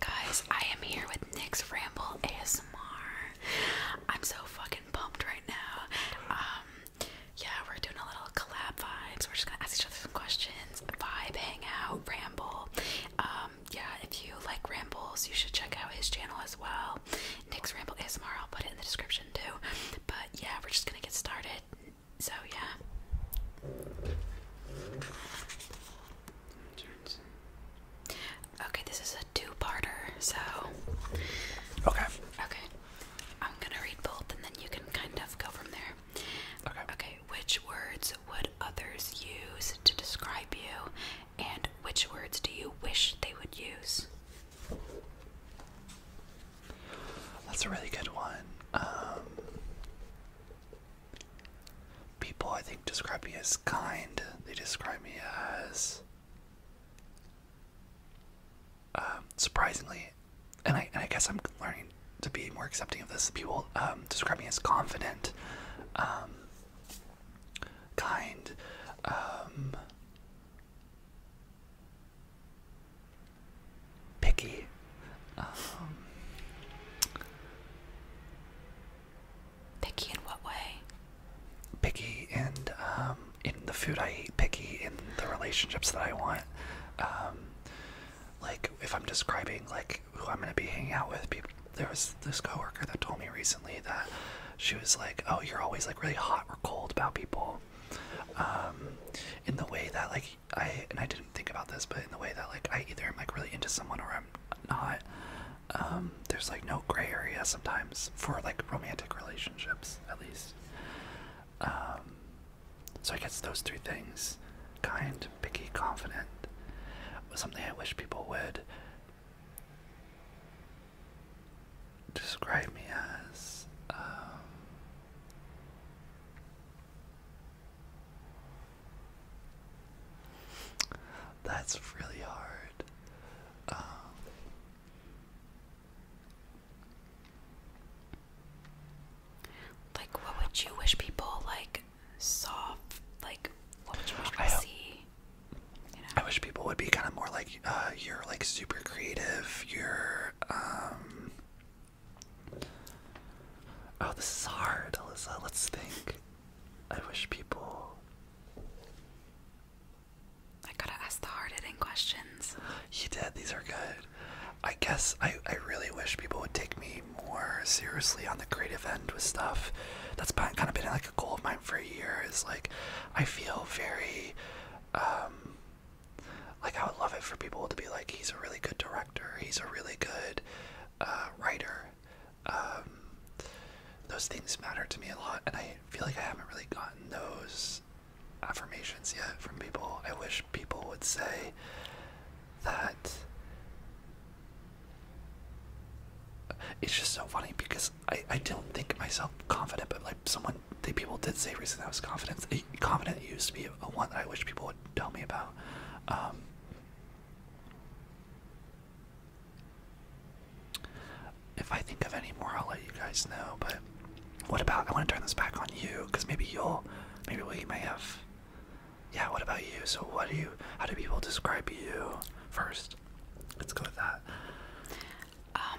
Guys, I am here with Nick's Ramble ASMR. I'm so fucking pumped right now. Um, yeah, we're doing a little collab vibes. We're just gonna ask each other some questions, vibe, hang out, ramble. Um, yeah, if you like rambles, you should check out his channel as well. Nick's Ramble ASMR, I'll put it in the description too. But yeah, we're just gonna get started. So yeah. Okay, this is a two-parter, so. Okay. Okay. I'm gonna read both, and then you can kind of go from there. Okay. Okay. Which words would others use to describe you, and which words do you wish they would use? That's a really good one. Um, People, I think, describe me as kind. They describe me as um, surprisingly, and I, and I guess I'm learning to be more accepting of this. People um, describe me as confident, um, kind. Picky. Picky in what way? Picky and um, in the food I eat. Picky in the relationships that I want. Um, like if I'm describing like who I'm gonna be hanging out with, people. There was this coworker that told me recently that she was like, "Oh, you're always like really hot or cold about people." Um, in the way that like I and I didn't think about this, but in the way that like I either am like really into someone or I'm not. Um, there's like no gray area sometimes for like romantic relationships, at least. Um, so I guess those three things kind, picky, confident was something I wish people would describe me as. Um, that's really hard. Um, like, what would you wish people like saw? Like, what would you wish people see? I wish people would be kind of more like uh, you're like super creative. You're um. Oh, this is hard, Alyssa. Let's think. I wish people. I gotta ask the hard hitting questions. You did. These are good. I guess I, I really wish people would take me more seriously on the creative end with stuff. That's been, kind of been like a goal of mine for years. like, I feel very, um, like I would love it for people to be like, he's a really good director. He's a really good uh, writer. Um, those things matter to me a lot, and I feel like I haven't really gotten those affirmations yet from people. I wish people would say that. It's just so funny because I, I don't think myself confident, but like someone, they, people did say recently I was confident. Confident used to be a one that I wish people would tell me about. Um, if I think of any more, I'll let you guys know. But what about? I want to turn this back on you, because maybe you'll, maybe we may have. Yeah. What about you? So, what do you? How do people describe you first? Let's go with that. Um,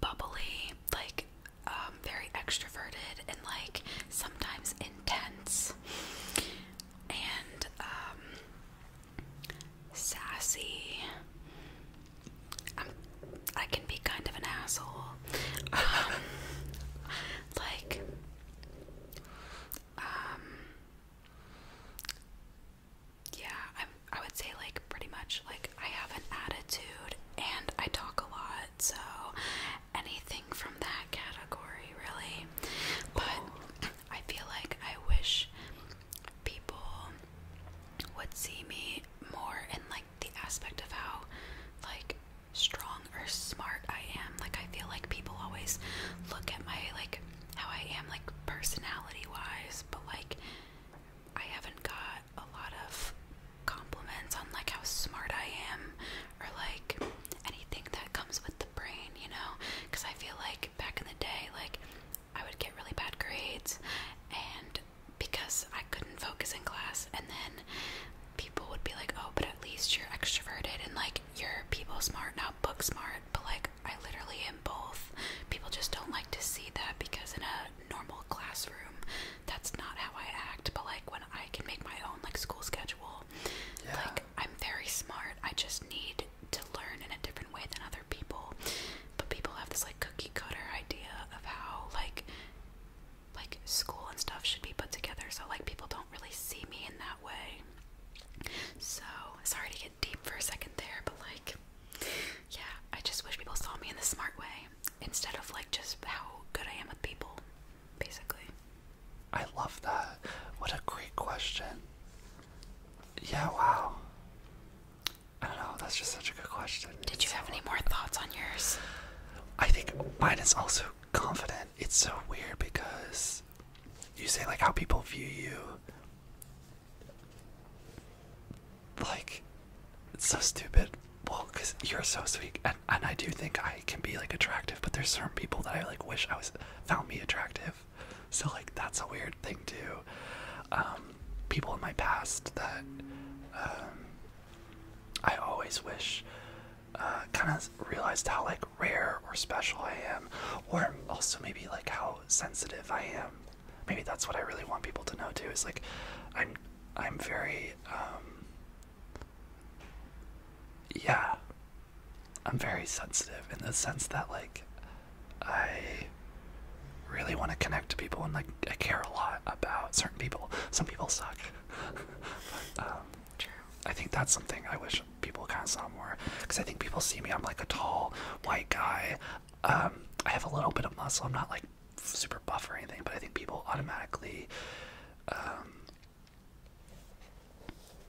bubbly, like um, very extroverted, and like sometimes intense. And um, sassy. i can be kind of an asshole. Um, like um yeah, I I would say like pretty much like I have an attitude and I talk a lot, so anything from that category, really. But I feel like I wish people would see me more in like the aspect of how like strong or smart I am. Like I feel like people always look at my like how I am like personality wise, but like I haven't got a lot of compliments on like how smart I am or like anything that comes with the brain, you know? Because I feel like back in the day, like, I would get really bad grades, and because I couldn't focus in class, and then people would be like, oh, but at least you're extroverted and, like, you're people smart, not book smart. But, like, I literally am both. People just don't like to see that because in a normal classroom, that's not how I act. But, like, when I can make my own, like, school schedule, school. Yeah. Like I'm very smart. I just need to learn in a different way than other people. But people have this like cookie cutter idea of how like like school and stuff should be put together. So like people don't really see me in that way. So sorry to get deep for a second there, but like yeah, I just wish people saw me in the smart way instead of like just how good I am with people basically. I love that. What a great question. Yeah, wow. I don't know, that's just such a good question. Did you have any more thoughts on yours? I think mine is also confident. It's so weird because you say like how people view you. Like, it's so stupid. Well, because you're so sweet and, I do think I can be like attractive, but there's certain people that I like wish I was found me attractive. So like that's a weird thing too. Um, people in my past that um, I always wish uh, kind of realized how like rare or special I am, or also maybe like how sensitive I am. Maybe that's what I really want people to know too. Is like I'm I'm very um, yeah, I'm very sensitive in the sense that, like, I really want to connect to people and, like, I care a lot about certain people. Some people suck. Um, I think that's something I wish people kind of saw more because I think people see me, I'm like a tall, white guy. Um, I have a little bit of muscle, I'm not like super buff or anything, but I think people automatically um,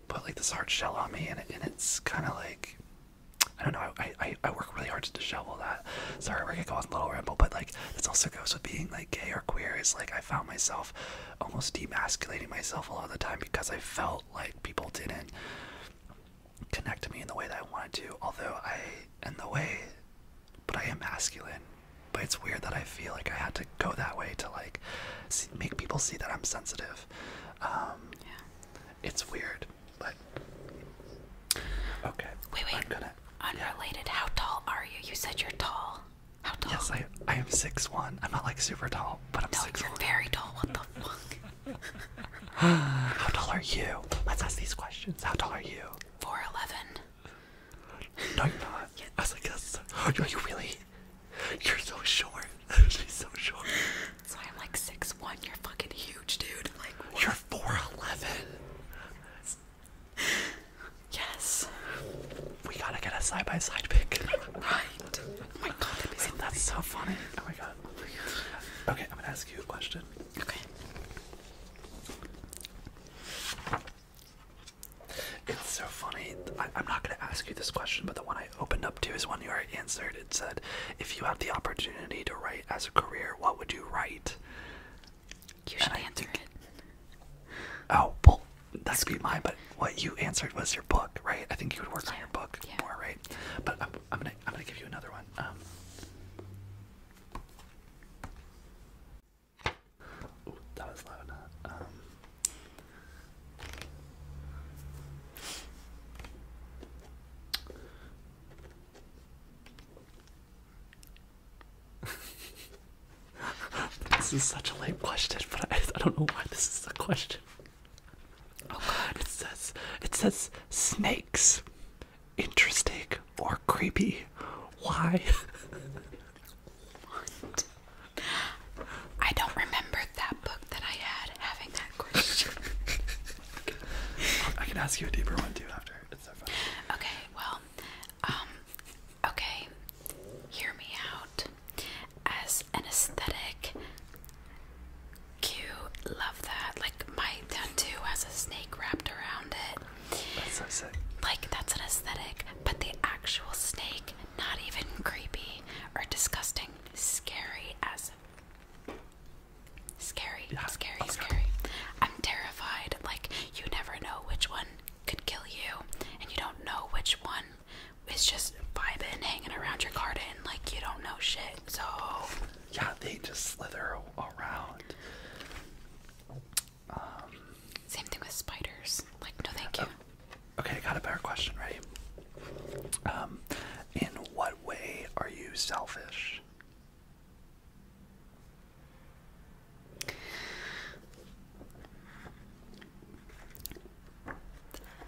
put like this hard shell on me, and, it's kind of like I don't know. I, I work really hard to dishevel that. Sorry, we're gonna go on a little ramble, but like this also goes with being like gay or queer. It's like I found myself almost demasculating myself a lot of the time because I felt like people didn't connect to me in the way that I wanted to. Although I, in the way, but I am masculine. But it's weird that I feel like I had to go that way to like see, make people see that I'm sensitive. Um, yeah. It's weird, but okay. Wait, wait. I'm gonna, Unrelated. Yeah. How tall are you? You said you're tall. How tall? Yes, I I am six one. I'm not like super tall, but I'm no, six. No, you're one. very tall. What the fuck? How tall are you? Let's ask these questions. How tall are you? Four eleven. No, you're not. Yeah. I was like, that's, are you really? You're so short. She's so short. So I'm like six one. You're fucking huge, dude. Like You're four eleven. Yes. We gotta get a side by side pic. Right. Oh my god, that's so funny. Oh, oh my god. Okay, I'm gonna ask you a question. Okay. It's so funny. I, am not going to ask you this question, but the one I opened up to is one you already answered. It said, "If you had the opportunity to write as a career, what would you write?" You should answer it. Oh well, that could be mine. But what you answered was your book, right? I think you would work on your book more, right? But I'm, gonna I'm gonna give you another one. Um, that was loud. Um, this is such a late question, but I, don't know why this is a question. Oh, it says it says snakes, interesting or creepy? Why? I don't remember that book that I had having that question. I can ask you a deeper one too after. It's Okay, well, um, okay, hear me out. As an aesthetic, Q, love that. Like, my tattoo has a snake wrapped around it. That's so sick. Like, that's an aesthetic, but the actual snake not even creepy or disgusting, scary as scary, scary, oh scary. I'm terrified. Like you never know which one could kill you, and you don't know which one is just vibing, hanging around your garden. Like you don't know shit. So yeah, they just slither around. Um, Same thing with spiders. Like, no, thank oh, you. okay, I got a better question. Ready? Um, in what way are you selfish?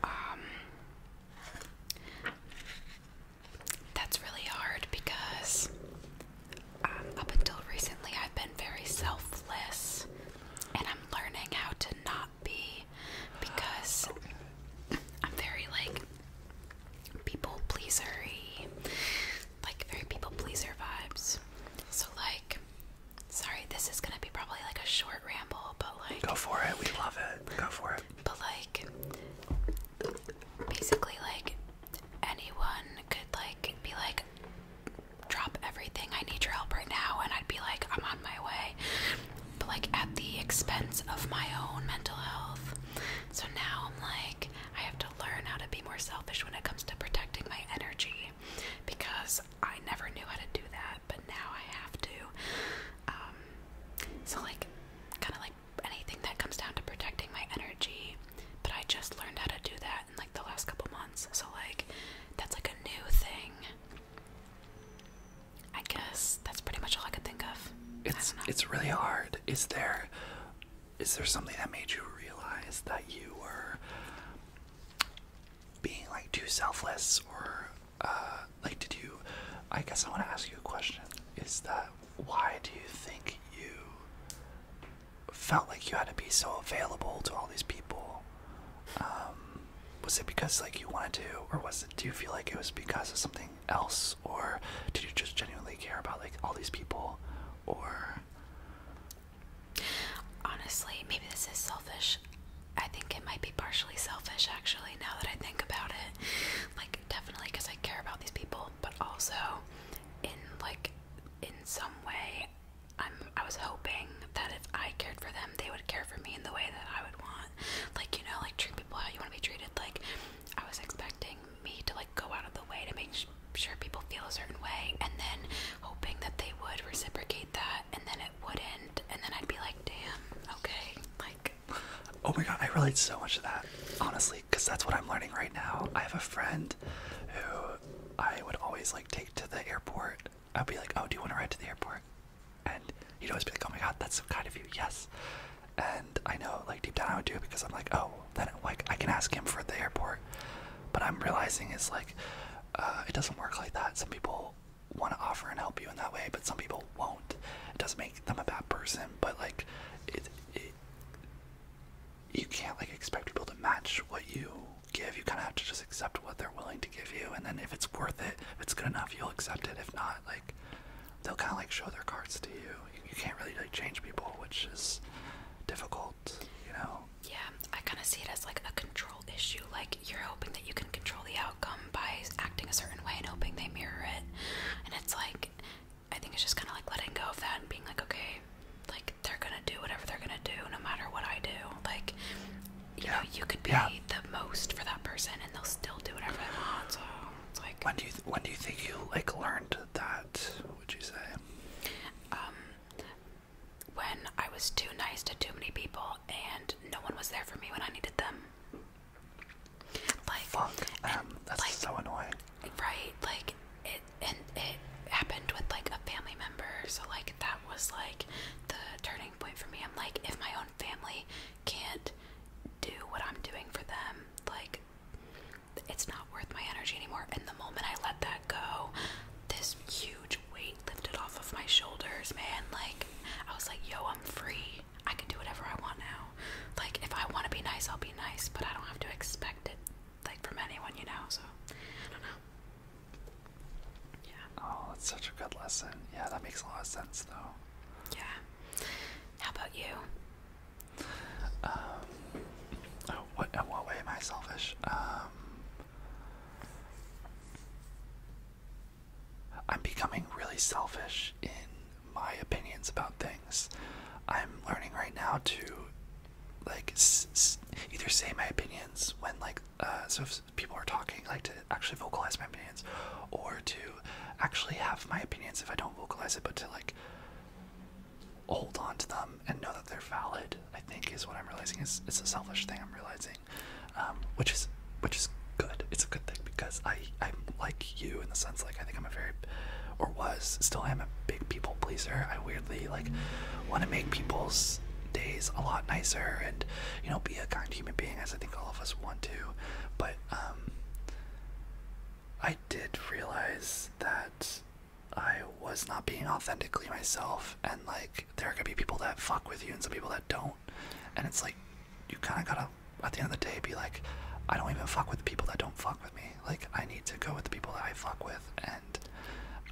Um, that's really hard because um, up until recently I've been very selfless and learning how to not be because I'm very like people pleasery, like very people pleaser vibes. So like, sorry, this is gonna be probably like a short ramble, but like, go for it. We love it. Go for it. But like, basically like anyone could like be like drop everything. I need your help right now. And I'd be like, I'm on my way. But like at the expense of my own mental health. So now I'm like, I have to learn how to be more selfish when it comes to protecting my energy because I never knew how to do that, but now I have to. Um, so, like, kind of like anything that comes down to protecting my energy, but I just learned how to do that like the last couple months. So like that's like a new thing. I guess that's pretty much all I could think of. It's it's really hard. Is there is there something that made you realize that you were being like too selfless or uh like did you I guess I want to ask you a question. Is that why do you think you felt like you had to be so available to all these people? Um, was it because like you wanted to, or was it? Do you feel like it was because of something else, or did you just genuinely care about like all these people, or? Honestly, maybe this is selfish. I think it might be partially selfish actually now that I think about it. Like definitely cuz I care about these people, but also in like in some way I'm I was hoping that if I cared for them, they would care for me in the way that I would want. Like, you know, like treat people how you want to be treated. Like, I was expecting me to like go out of the way to make sure people feel a certain way, and then hoping that they would reciprocate that, and then it wouldn't, and then I'd be like, damn, okay, like. Oh my god, I relate so much to that, honestly, because that's what I'm learning right now. I have a friend who I would always like take to the airport I'd be like, "Oh, do you want to ride to the airport?" And he'd always be like, "Oh my God, that's so kind of you." Yes. And I know, like deep down, I would do it because I'm like, "Oh, then like I can ask him for the airport." But I'm realizing is like, uh, it doesn't work like that. Some people want to offer and help you in that way, but some people won't. It doesn't make them a bad person, but like, it, it you can't like expect people to match what you give, you kind of have to just accept what they're willing to give you. And then if it's worth it, if it's good enough, you'll accept it. If not, like they'll kind of like show their cards to you. you. You can't really like change people, which is difficult, you know. Yeah, I kind of see it as like a control issue. Like you're hoping that you can control the outcome by acting a certain way and hoping they mirror it. And it's like I think it's just kind of like letting go of that and being like, okay, like they're gonna do whatever they're gonna do no matter what I do. Like you know, you could be the most for that person and they'll still do whatever they want. So it's like when do you when do you think you like learned that? Would you say? Um, when I was too nice to too many people and no one was there for me when I needed them. Like um, That's like, so annoying. Right, like it and it happened with like a family member, so like that that was like the turning point for me. I'm like, if my own family can't do what I'm doing for them, like, it's not worth my energy anymore. And the moment I let that go, this huge weight lifted off of my shoulders, man. Like, I was like, yo, I'm free. I can do whatever I want now. Like, if I want to be nice, I'll be nice, but I don't have to expect it, like, from anyone, you know? So, I don't know. Oh, that's such a good lesson. Yeah, that makes a lot of sense, though. Yeah. How about you? Um, oh, what, in what way am I selfish? Um, I'm becoming really selfish in my opinions about things. I'm learning right now to like either say my opinions when like uh, so if people are talking, like to actually vocalize my opinions, or to actually have my opinions if I don't vocalize it, but to like hold on to them and know that they're valid. I think is what I'm realizing is it's a selfish thing I'm realizing, um, which is which is good. It's a good thing because I I'm like you in the sense like I think I'm a very or was still am a big people pleaser. I weirdly like want to make people's days a lot nicer and you know be a kind human being as I think all of us want to. But um, I did realize that I was not being authentically myself, and like there are gonna be people that fuck with you and some people that don't, and it's like you kind of gotta at the end of the day be like, I don't even fuck with the people that don't fuck with me. Like I need to go with the people that I fuck with,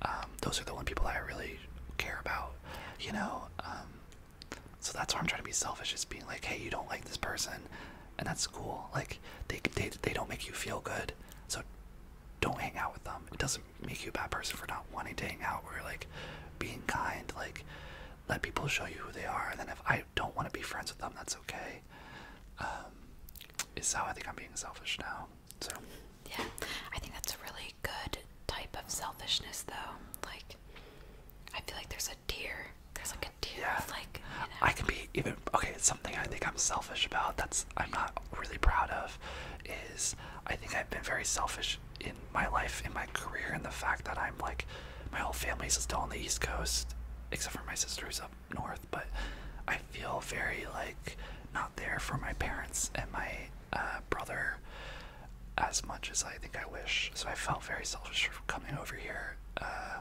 um, those are the only people that I really care about, you know. Um, so that's why I'm trying to be selfish, is being like, hey, you don't like this person, and that's cool. Like they they they don't make you feel good, so don't hang out with them. It doesn't make you a bad person for not wanting to hang out or like being kind. Like let people show you who they are, and then if I don't want to be friends with them, that's okay. Um, is how I think I'm being selfish now. So yeah, I think that's a really good type of selfishness, though. Like, I feel like there's a deer. There's like a deer. Yeah. Like, I can be even okay. It's something I think I'm selfish about. That's I'm not really proud of. Is I think I've been very selfish in my life, in my career, in the fact that I'm like my whole family's still on the East Coast, except for my sister who's up north. But I feel very like not there for my parents and my uh, brother as much as I think I wish. So I felt very selfish for coming over here. Uh,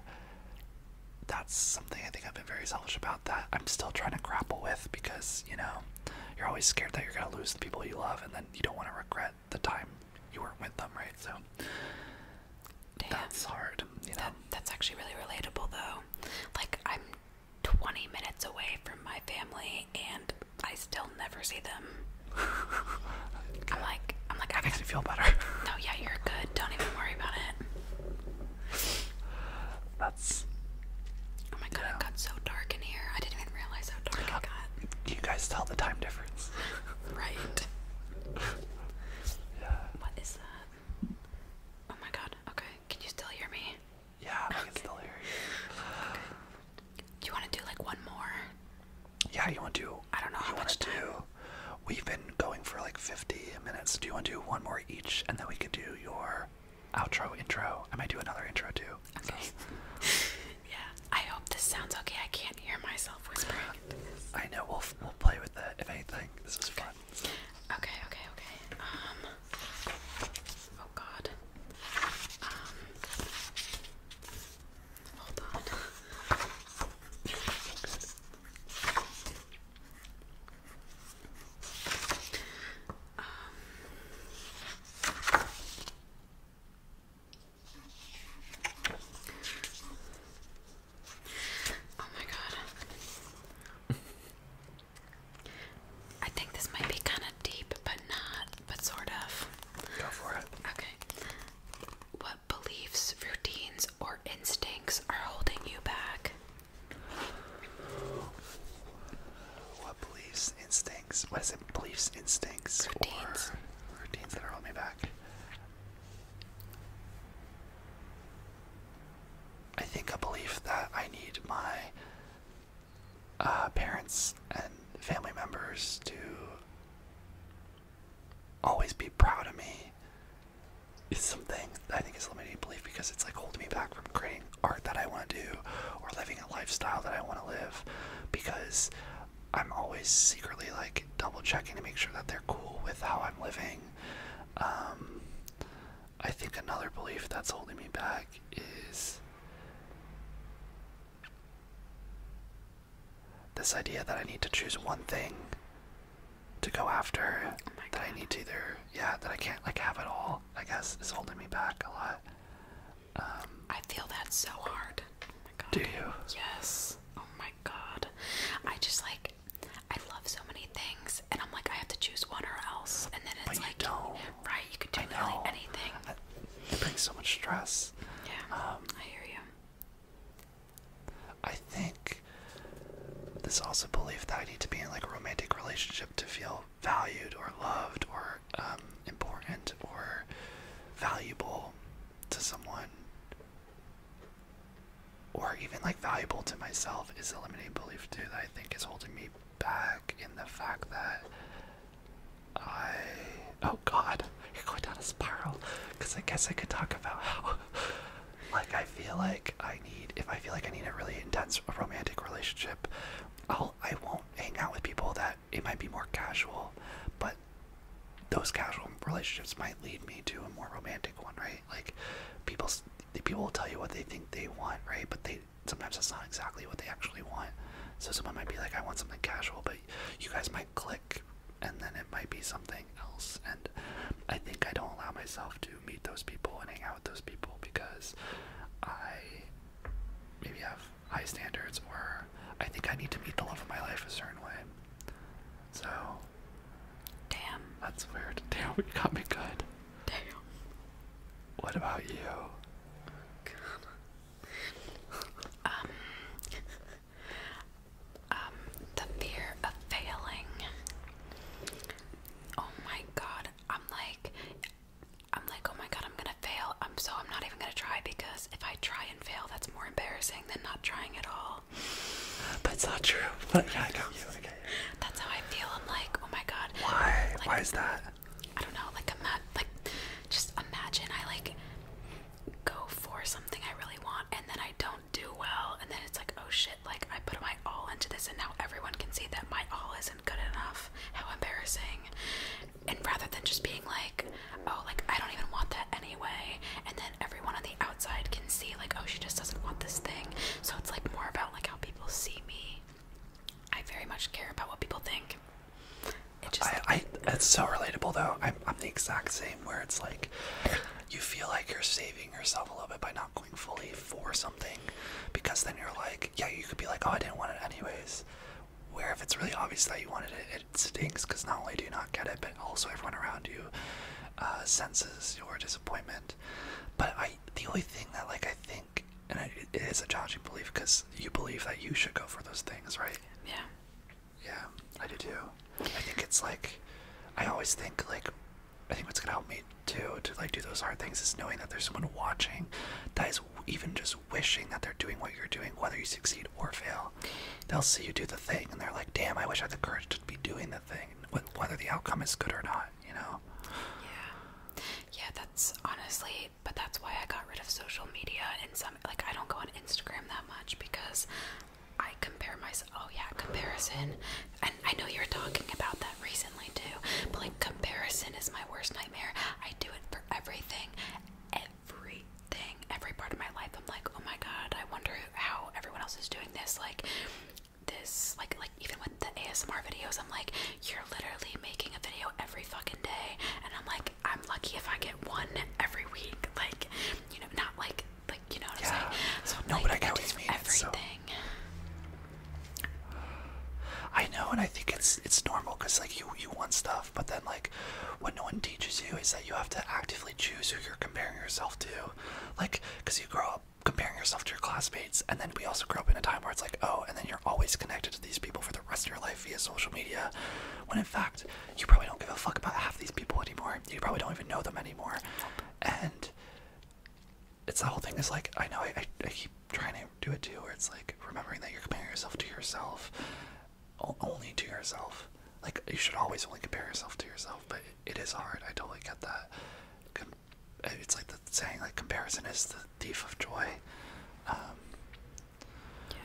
that's something I think I've been very selfish about that I'm still trying to grapple with because, you know, you're always scared that you're going to lose the people you love and then you don't want to regret the time you weren't with them, right? So that's hard, you know. that's actually really relatable though. Like I'm 20 minutes away from my family and I still never see them. I'm like, I'm like, I makes me feel better. no, yeah, you're good. Don't even worry about it. That's. Oh my god, yeah. it got so dark in here. I didn't even realize how dark it got. You guys tell the time difference. right. Yeah. What is that? Oh my god. Okay, can you still hear me? Yeah, I can Do you want to do like one more? Yeah, you want to? I don't know. You want to do? We've been going for like 50 minutes. Do you want to do one more each, and then we could do your outro intro? I might do another intro too. Okay. yeah. I hope this sounds okay. I can't hear myself whispering. I know. We'll we'll play with it if anything. This is fun. So. Okay. Okay. Okay. Um. Oh god. Um, hold on. Um, oh my god. I think this might be kind of deep, but not, but sort of. Go for it. Okay. What beliefs, routines, or instincts are holding you back? What beliefs, instincts? What is it? Beliefs, instincts, routines. routines that are holding me back? I think a belief that I need my uh, parents and family members to always be proud of me is something I think is limiting belief because it's like holding me back from creating art that I want to do or living a lifestyle that I want to live because I'm always secretly like double checking to make sure that they're cool with how I'm living. Um, I think another belief that's holding me back is this idea that I need to choose one thing to go after oh that I need to either yeah that I can't like have it all I guess is holding me back a lot. Um, I feel that so hard. Oh Do you? Yes. Oh my god. I just like I love so many things and I'm like I have to choose one or else and then it's like don't. Right, you could do nearly anything. That, it brings so much stress. Yeah, um, I hear you. I think this also belief that I need to be in like a romantic relationship to feel valued or loved or um, important or valuable to someone or even like valuable to myself is a limiting belief too that I think is holding me back in the fact that I. Oh god, you're going down a spiral. Because I guess I could talk about how. Like, I feel like I need. If I feel like I need a really intense romantic relationship, I'll, I won't hang out with people that it might be more casual, but those casual relationships might lead me to a more romantic one, right? Like, people people will tell you what they think they want, right? But they sometimes that's not exactly what they actually want. So someone might be like, I want something casual, but you guys might click and then it might be something else. And I think I don't allow myself to meet those people and hang out with those people because I maybe have high standards or I think I need to meet the love of my life a certain way. So Damn. That's weird. Damn, it got me good. Damn. What about you? Um, um, the fear of failing. Oh my god, I'm like, I'm like, oh my god, I'm gonna fail. I'm so I'm not even gonna try because if I try and fail, that's more embarrassing than not trying at all. But it's not true. But yeah, I know you. Okay. That's how I feel. I'm like, oh my god. Why? Why is that? I don't know, like I'm ima like just imagine I like go for something I really want and then I don't do well and then it's like oh shit, like I put my all into this and now everyone can see that my all isn't good enough. How embarrassing. And rather than just being like, oh like I don't even want that anyway and then everyone on the outside can see like oh she just doesn't want this thing. So it's like more about like how people see me I very much care about what people think. It just, it's so relatable though. I'm, I'm the exact same. Where it's like, you feel like you're saving yourself a little bit by not going fully for something, because then you're like, yeah, you could be like, oh, I didn't want it anyways. Where if it's really obvious that you wanted it, it stinks because not only do you not get it, but also everyone around you uh, senses your disappointment. But I, the only thing that like I think and it is a challenging belief because you believe that you should go for those things, right? Yeah. Yeah, I do too. I think it's like, I always think like, I think what's gonna help me too to like do those hard things is knowing that there's someone watching, that is even just wishing that they're doing what you're doing, whether you succeed or fail. They'll see you do the thing and they're like, damn, I wish I had the courage to be doing the thing, whether the outcome is good or not, you know? Yeah. Yeah, that's honestly, but that's why I got rid of social media and some like I don't go on Instagram that much because I compare myself. Oh yeah, comparison. And I know you were talking about that recently too. But like comparison is my worst nightmare. I do it for everything. Everything, every part of my life. I'm like, "Oh my god, I wonder how everyone else is doing this." Like this like like even with the ASMR videos, I'm like, you're literally making a video every fucking day, and I'm like, I'm lucky if I get one every week. Like, you know, not like, like you know what I'm saying. So no, but I get what Everything. I know, and I think it's it's normal because like you you want stuff, but then like what no one teaches you is that you have to actively choose who you're comparing yourself to, like because you grow up. comparing yourself to your classmates, and then we also grow up in a time where it's like, oh, and then you're always connected to these people for the rest of your life via social media, when in fact, you probably don't give a fuck about half these people anymore. You probably don't even know them anymore. And it's the whole thing is like, I know I, keep trying to do it too, where it's like remembering that you're comparing yourself to yourself, only to yourself. Like, you should always only compare yourself to yourself, but it is hard. I totally get that it's like the saying like comparison is the thief of joy. Um, yeah.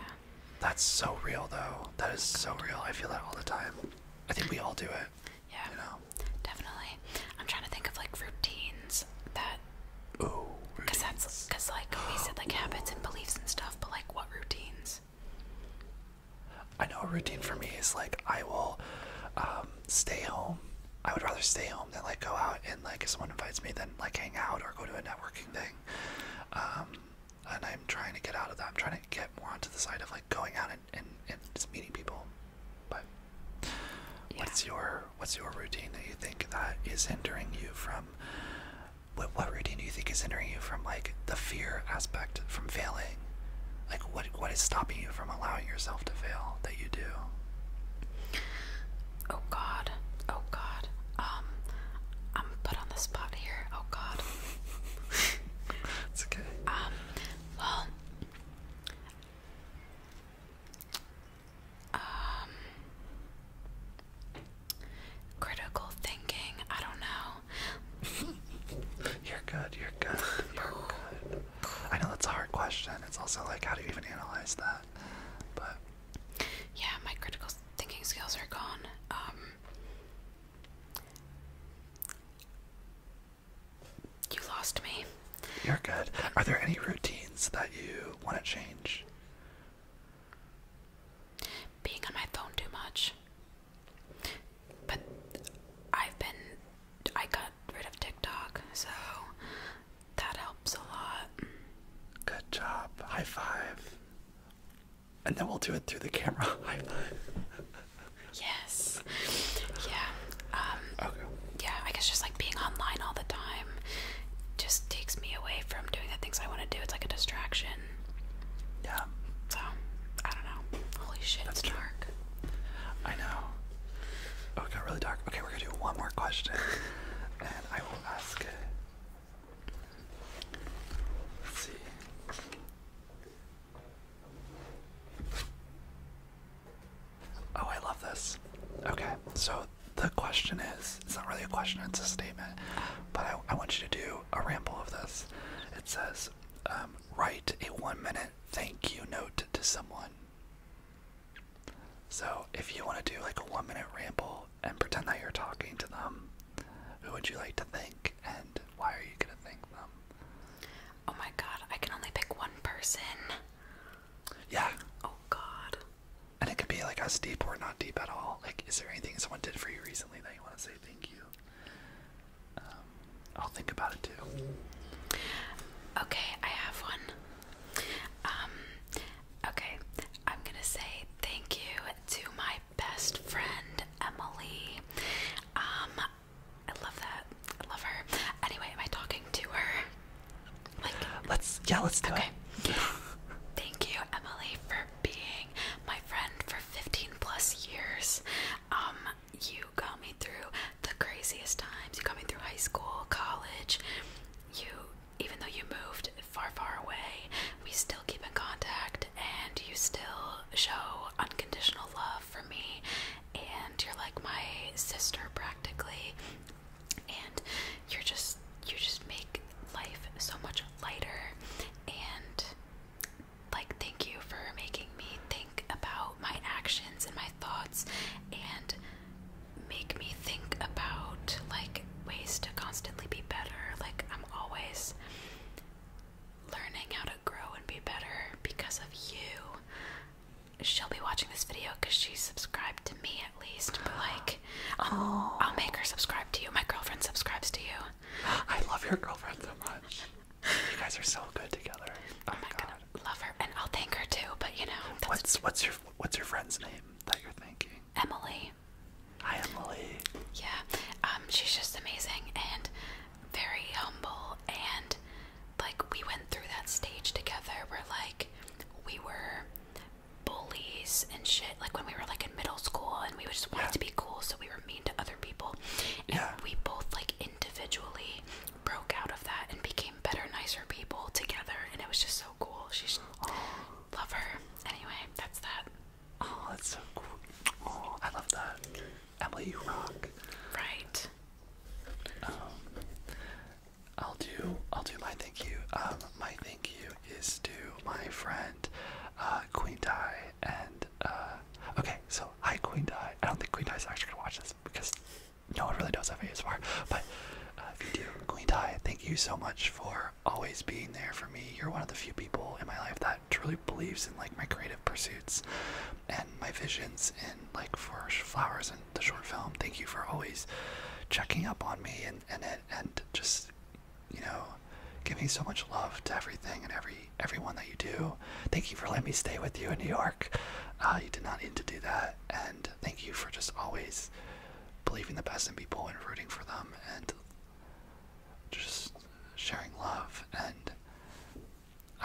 That's so real though. That is so real. I feel that all the time. I think we all do it. Yeah. You know. Definitely. I'm trying to think of like routines that. Ooh. Because that's because like we said like habits and beliefs and stuff, but like what routines? I know a routine for me is like I will um, stay home I would rather stay home than like go out and like if someone invites me then like hang out or go to a networking thing. Um, and I'm trying to get out of that. I'm trying to get more onto the side of like going out and, and, just meeting people. But what's your what's your routine that you think that is hindering you from what what routine do you think is hindering you from like the fear aspect from failing? Like what what is stopping you from allowing yourself to fail that you do? Oh god. Oh god. Um I'm put on the spot here. Oh god. it's okay. Um well um critical thinking, I don't know. you're good, you're good. You're good. I know that's a hard question. It's also like how do you even analyze that? but yeah, my critical thinking skills are gone. Um, you lost me. You're good. Are there any routines that you want to change? Being on my phone too much. But I've been I got rid of TikTok, so that helps a lot. Good job. High five. And then we'll do it through the camera. High five. yes. Yeah. Um, okay. yeah, I guess just like being online all the time just takes me away from doing the things I want to do. It's like a distraction. Yeah. So I don't know. Holy shit, That's it's dark. I know. Oh, it got really dark. Okay, we're gonna do one more question. and I will ask. Uh, see. Oh, I love this. Okay, so the question is it's not really a question, it's a statement, but I, want you to do a ramble of this. It says, um, write a one minute thank you note to someone. So, if you want to do like a one minute ramble and pretend that you're talking to them, who would you like to thank and why are you going to thank them? Oh my god, I can only pick one person. Yeah. Oh god. And it could be like us deep or not deep at all. Like, is there anything someone did for you recently that you want to say thank you? Um, I'll think about it too. Okay, I have one. Um, okay, I'm gonna say thank you to my best friend Emily. Um, I love that. I love her. Anyway, am I talking to her? let's yeah, let's do okay. it. thank you, Emily, for being my friend for 15 plus years. Um, you got me through the craziest times. You coming through high school, college. You, even though you moved far, far away, we still keep in contact, and you still show unconditional love for me. And you're like my sister, practically. And you're just, you just make life so much lighter. And like, thank you for making me think about my actions and my thoughts and make me think about like ways to constantly be better. Like I'm always learning how to grow and be better because of you. She'll be watching this video because she's subscribed to me at least. But like, I'll, I'll make her subscribe to you. My girlfriend subscribes to you. I love your girlfriend so much. You guys are so good together. Oh i my god, love her, and I'll thank her too. But you know, what's what's your what's your friend's name that you're thinking? Emily. Hi, Emily. Yeah, um, she's just amazing and very humble, and like we went through that stage together where like we were bullies and shit. Like when we were like in middle school, and we just wanted to be cool, so we were mean to other people. yeah. we both like individually broke out of that and became better, nicer people together, and it was just so cool. She's love her. Anyway, that's that. Oh, that's so cool. Oh, I love that. Emily, you rock. Right. Um, I'll do. I'll do my thank you. Um, my thank you is to my friend, uh, Queen Di, and uh, okay. So hi, Queen Di. I don't think Queen Di is actually gonna watch this because no one really does have ASMR, but uh, if you do, Queen Tai, thank you so much for always being there for me. You're one of the few people in my life that truly believes in like my creative pursuits and my visions and like for flowers and the short film. Thank you for always checking up on me and and and just you know giving so much love to everything and every everyone that you do. Thank you for letting me stay with you in New York. Uh, you did not need to do that and thank you for just always believing the best in people and rooting for them and just sharing love and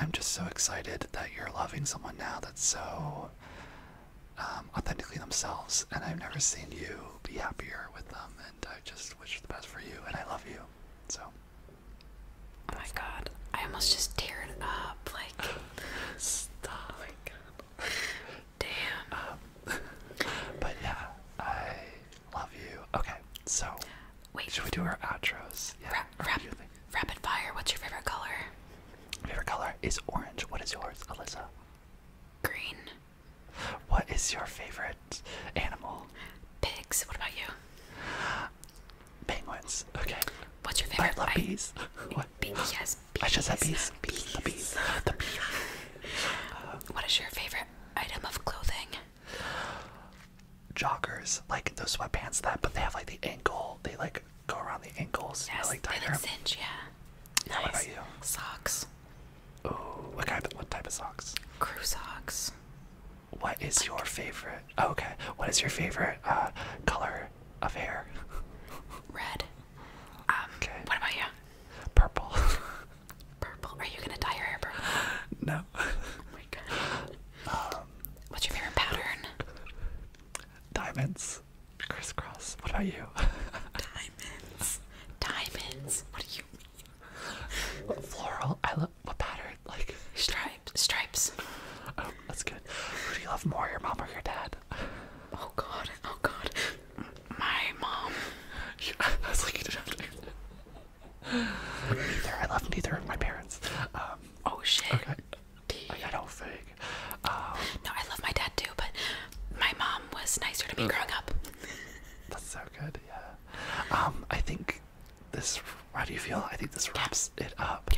i'm just so excited that you're loving someone now that's so um, authentically themselves and i've never seen you be happier with them and i just wish the best for you and i love you so oh my god i almost just teared up like stop oh Damn. Uh, but yeah, I love you. Okay, so wait. Should we do our outros? Yeah. rapid fire. What's your favorite color? Favorite color is orange. What is yours, Alyssa? Green. What is your favorite animal? Pigs. What about you? Penguins. Okay. What's your favorite? I love bees. What? The bees. The bees. what is your favorite item of clothing? Joggers, like those sweatpants that, but they have like the ankle. They like go around the ankles. Yes, like they like cinch. Yeah. Nice. Socks. Oh, what kind? what type of socks? Crew socks. What is your favorite? Oh, okay. What is your favorite uh, color of hair. Red. Um, okay. What about you? Purple. purple. Are you gonna dye your hair purple? No. Oh my god. Um, What's your favorite pattern? Diamonds. Crisscross. What about you? Diamonds. Diamonds. What do you mean? Floral. I love what pattern? Like stripes. Stripes that's good. Who do you love more, your mom or your dad? Oh god, oh god. My mom. I Neither. I love neither of my parents. Um, oh shit. Okay. I got all fake. Um, no, I love my dad too, but my mom was nicer to me growing up. That's so good, yeah. Um, I think this. How do you feel? I think this wraps it up.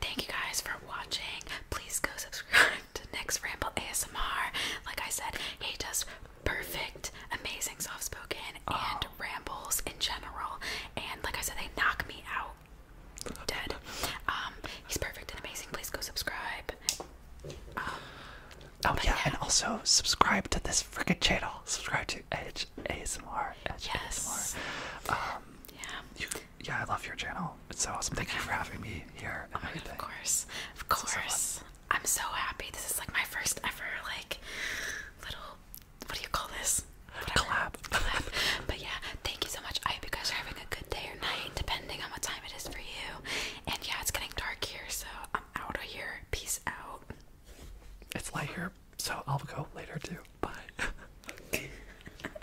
Thank you guys for watching. Please go subscribe to Next Ramble ASMR. Like I said, he does perfect, amazing soft spoken and oh. rambles in general. And like I said, they knock me out dead. Um, he's perfect and amazing. Please go subscribe. Um, oh yeah, and also subscribe to this freaking channel. Subscribe to Edge ASMR. yes. Um, yeah. Yeah, I love your channel. It's so awesome. Thank you for having me here. Oh of course, of course. I'm so happy. This is like my first ever like little. What do you call this? Collab. Collab. But yeah, thank you so much. I hope you guys are having a good day or night, depending on what time it is for you. And yeah, it's getting dark here, so I'm out of here. Peace out. It's light here, so I'll go later too. Bye.